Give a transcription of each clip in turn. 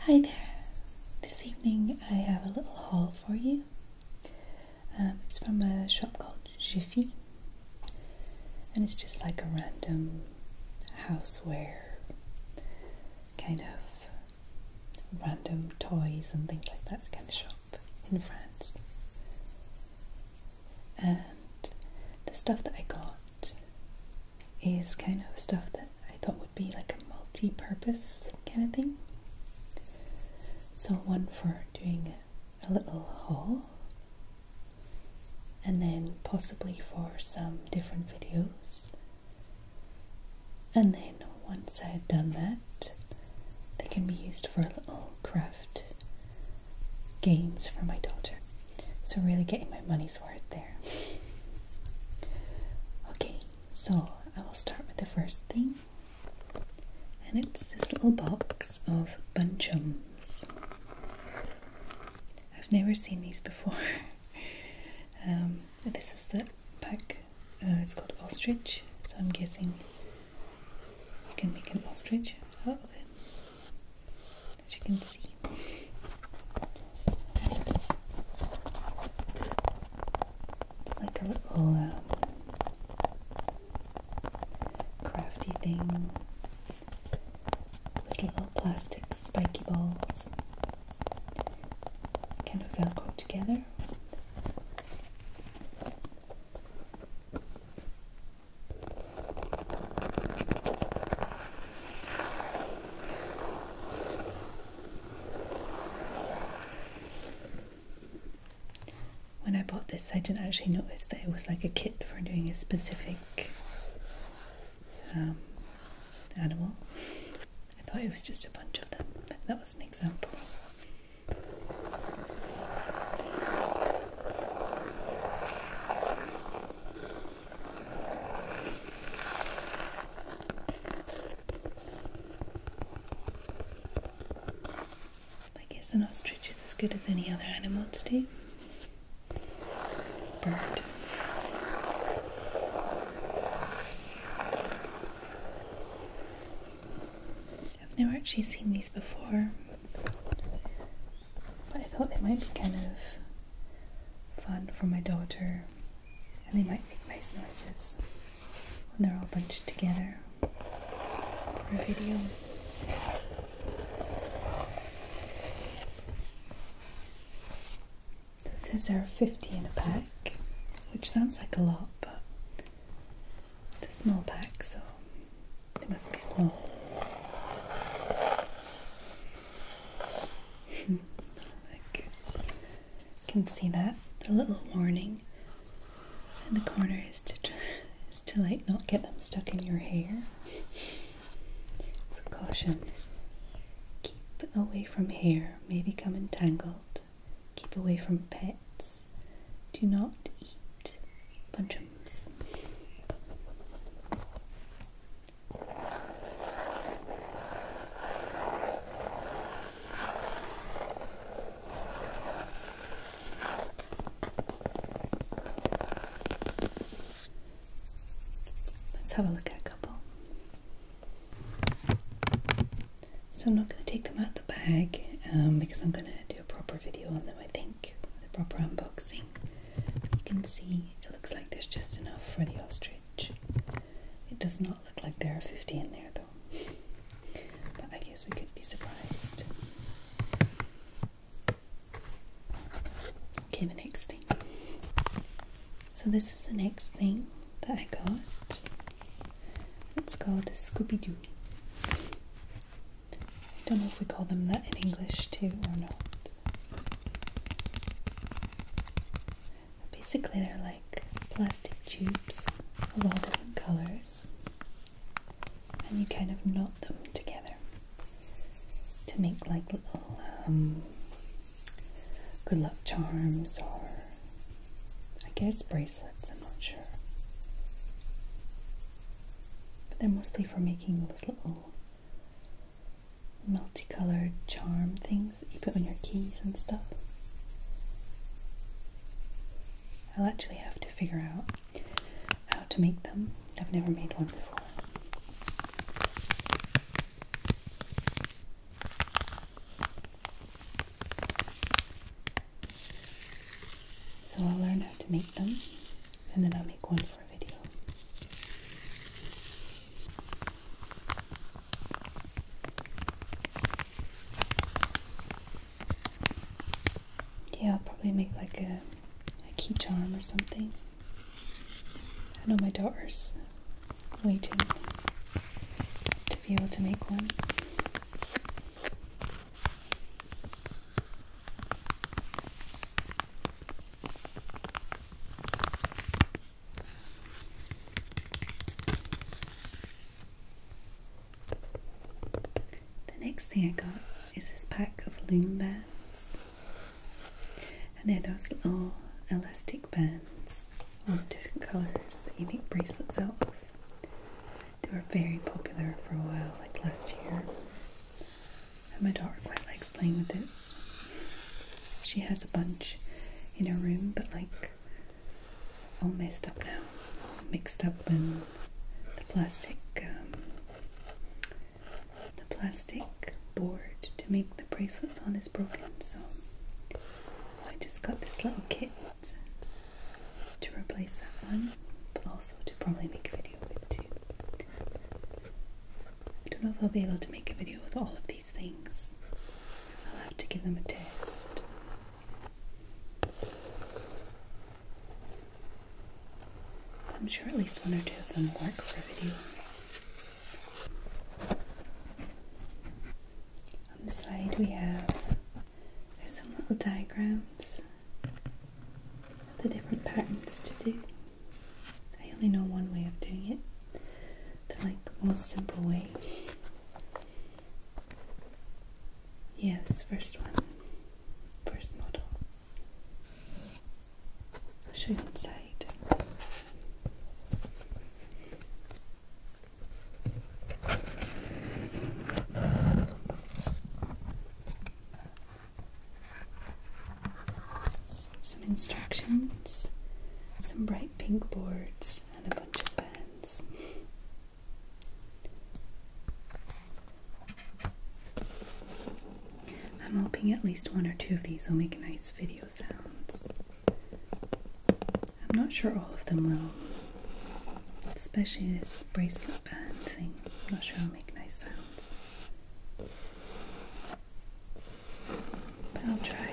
Hi there! This evening I have a little haul for you. Um, it's from a shop called Jiffy, and it's just like a random houseware kind of random toys and things like that kind of shop in France. And the stuff that I got is kind of stuff that I thought would be like a multi-purpose kind of thing. So one for doing a little haul and then possibly for some different videos. And then once I had done that, they can be used for little craft games for my daughter. So, really getting my money's worth there. Okay, so I will start with the first thing, and it's this little box of bunchums. I've never seen these before. Um, this is the pack, uh, it's called Ostrich, so I'm guessing you can make an ostrich out of it as you can see. It's like a little uh, crafty thing, little plastic spiky balls, kind of velcro together. When I bought this, I didn't actually notice that it was like a kit for doing a specific um, animal. I thought it was just a bunch of them, that was an example. I guess an ostrich is as good as any other animal to do. Bird. I've never actually seen these before, but I thought they might be kind of fun for my daughter, and they might make nice noises when they're all bunched together for a video. it says there are 50 in a pack, which sounds like a lot, but it's a small pack, so they must be small. Look, hmm. can see that the little warning in the corner is to to like not get them stuck in your hair. So caution. Keep away from hair, may become entangled. Keep away from pets. Do not eat bunchums. Let's have a look at a couple. So I'm not going to take them out of the bag um, because I'm going to do a proper video on them, I think, with a proper unboxing. You can see it looks like there's just enough for the ostrich. It does not look like there are 50 in there though. But I guess we could be surprised. Okay, the next thing. So this is the next thing that I got. It's called Scooby Doo. I don't know if we call them that in English too or not. Basically, they're like plastic tubes of all different colors, and you kind of knot them together to make like little um, good luck charms or I guess bracelets, I'm not sure. But they're mostly for making those little multicolored charm things that you put on your keys and stuff. I'll actually have to figure out how to make them. I've never made one before. So I'll learn how to make them and then I'll make one for a video. Yeah, I'll probably make like a, a key charm or something. I know my daughter's waiting to be able to make one. The next thing I got is this pack of loom bands, and they're those little elastic bands, all different colours that you make bracelets out of. They were very popular for a while, like last year. And my daughter quite likes playing with this. She has a bunch in her room, but like all messed up now, mixed up and the plastic, um, the plastic board to make the bracelets on is broken. So I just got this little kit to replace that one, but also to probably make a video of it too. I don't know if I'll be able to make a video with all of these things. I'll have to give them a test. I'm sure at least one or two of them work for a video. On the side we have there's some little diagrams the different patterns to do. I only know one way of doing it, the like most simple way. Yeah, this first one, first model. I'll show you inside. Some instructions, some bright pink boards, and a bunch of pens. I'm hoping at least one or two of these will make nice video sounds. I'm not sure all of them will, especially this bracelet not sure I'll make nice sounds. But I'll try.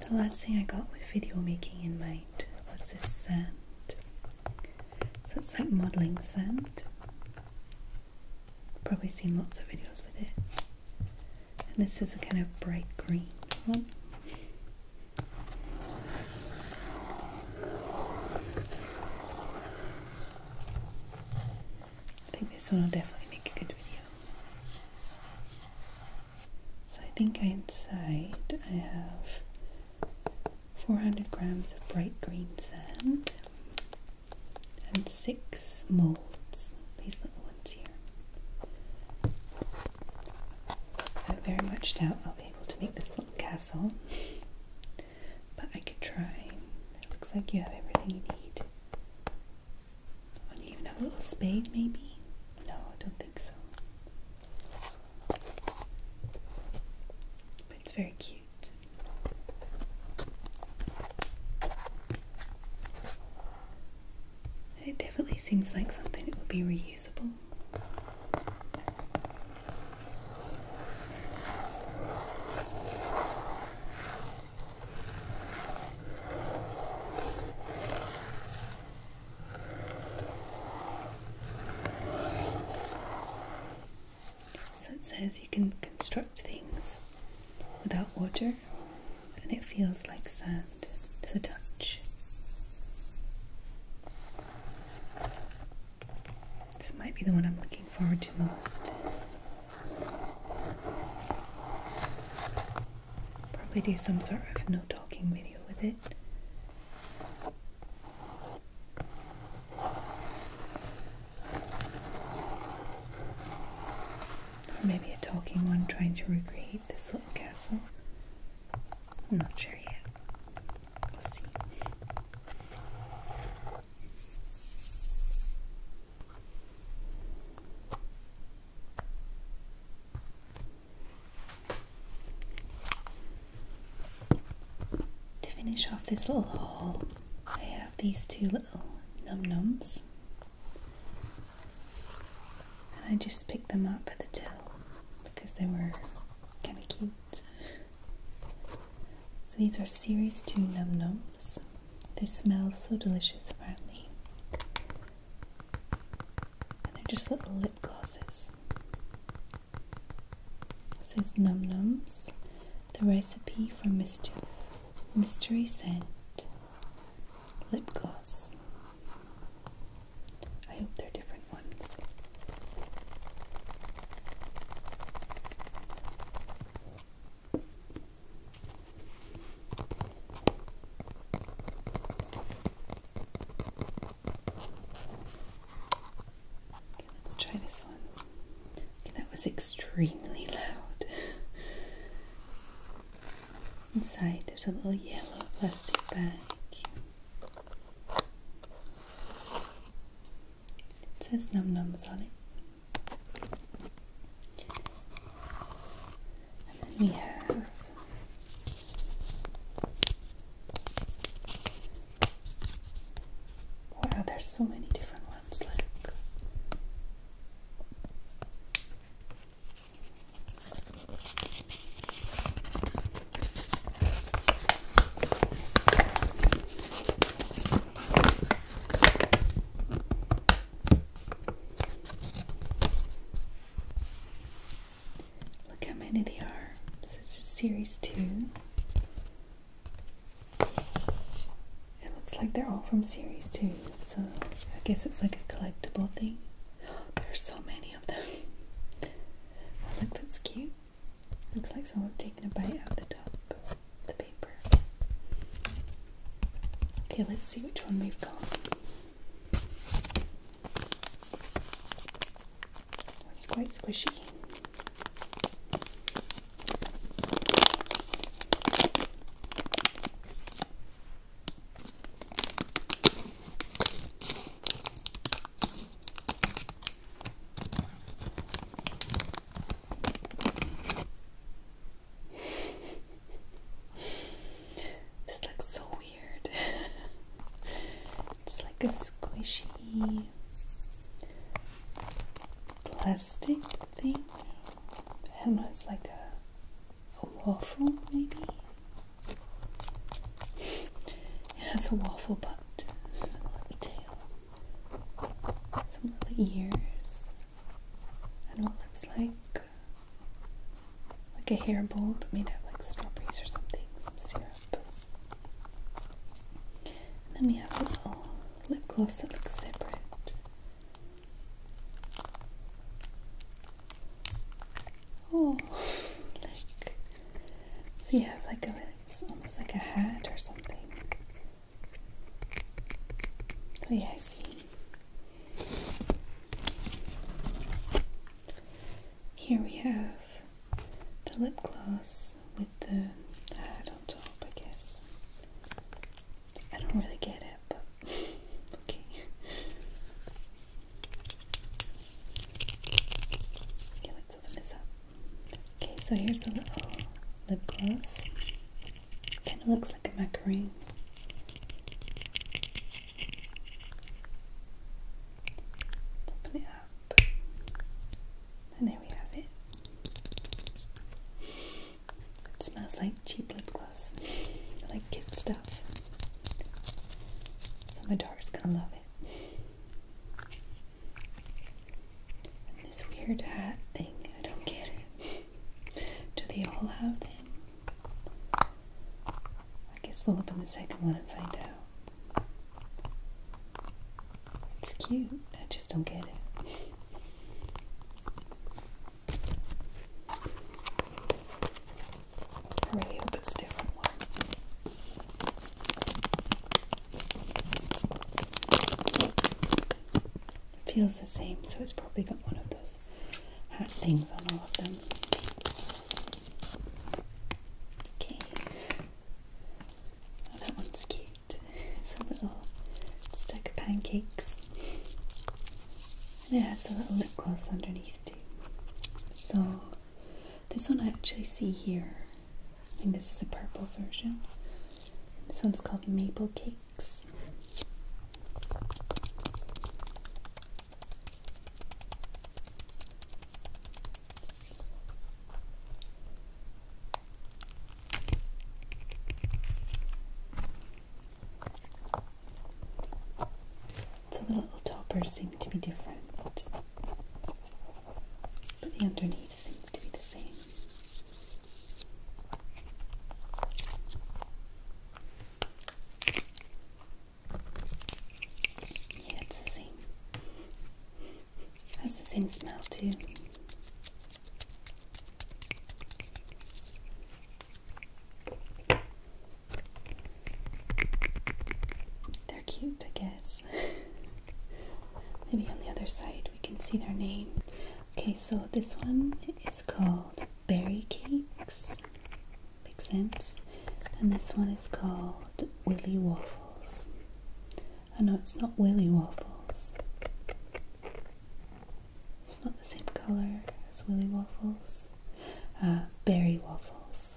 The last thing I got with video making in mind was this sand. So it's like modelling sand. Probably seen lots of videos with it. And this is a kind of bright green one. I think this one will definitely make a good video. So I think inside I have 400 grams of bright green sand, and six molds, these little ones here. I very much doubt I'll be able to make this little castle, but I could try. It looks like you have everything you need. do you even have a little spade, maybe? No, I don't think so. But it's very cute. It definitely seems like something that would be reusable. So it says you can construct things without water and it feels like sand to the touch. This might be the one I'm looking forward to most. Probably do some sort of no talking video with it. Or maybe a talking one trying to recreate this little castle. I'm not sure yet. To finish off this little haul, I have these two little num nums, and I just picked them up at the till because they were kind of cute. So these are series 2 num nums. They smell so delicious apparently. And they're just little lip glosses says Num Nums, the recipe for mischief, mystery scent, lip gloss. I hope they're different ones let's try this one. that was extremely loud. Inside is a little yellow plastic bag. It says num nums on it. And then we have Wow, there's so many different ones. Look. Look how many they are. This is series two. It looks like they're all from series two, so I guess it's like a collectible thing. There's so many of them. Oh, look, that's cute. Looks like someone's taking a bite out of the top of the paper. Okay, let's see which one we've got. It's quite squishy. this looks so it's like a squishy plastic thing. I don't know, it's like a, waffle, maybe? it has a waffle butt, a little tail, some little ears. and what it looks like. Like a hair bowl, but made out of like strawberries or something, some syrup. And then we have a little lip gloss that looks separate. Oh, like so you have like a it's almost like a hat or something. Oh yeah, I see. Here we have the lip gloss with the hat on top, I guess. I don't really get it, but okay. Okay, let's open this up. Okay, so here's the little lip gloss. Kind of looks like a macaroon. Open it up. And there we have it. It smells like cheap lip gloss, like kid stuff. So my daughter's gonna love it. this weird hat thing, I don't get it. Do they all have them? I guess we'll open the second one and find out. It's cute. I just don't get it. I really hope it's different one. feels the same, so it's probably got one of those hat things on all of them. Okay. Oh, that one's cute. It's a little stack of pancakes. And it has a little lip gloss underneath too. So this one I actually see here. I think this is a purple version. This one's called Maple Cakes. So the little toppers seem to be different, but the underneath seems to be the same. Yeah, it's the same. It has the same smell too. They're cute, I guess. Maybe on the other side we can see their name. Okay, so this one is called Berry Cakes. Makes sense. And this one is called Willy Waffles. I oh, know it's not Willy Waffles. It's not the same colour as Willy Waffles. Uh, berry Waffles.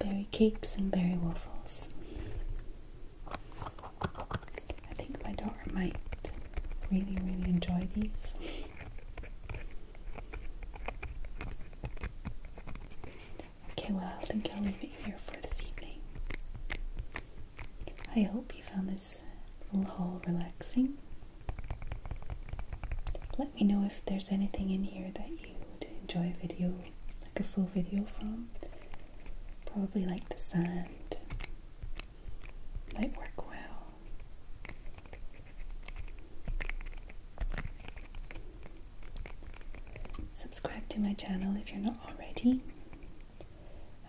Berry cakes and berry waffles. I think my daughter might really, really enjoy these. Okay, well, I think I'll leave it here for this evening. I hope you found this little haul relaxing. Let me know if there's anything in here that you would enjoy a video, like a full video from. Probably like the sand. Might work well. Subscribe to my channel if you're not already.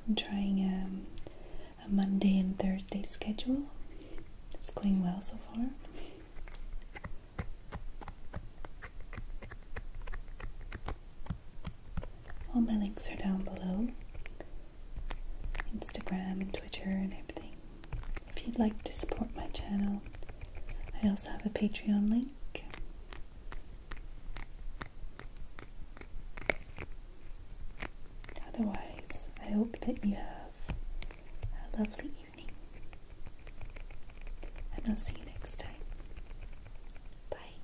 I'm trying um, a Monday and Thursday schedule. It's going well so far. All my links are down below. Instagram and Twitter and everything. If you'd like to support my channel, I also have a Patreon link. Otherwise, I hope that you have a lovely evening, and I'll see you next time. Bye.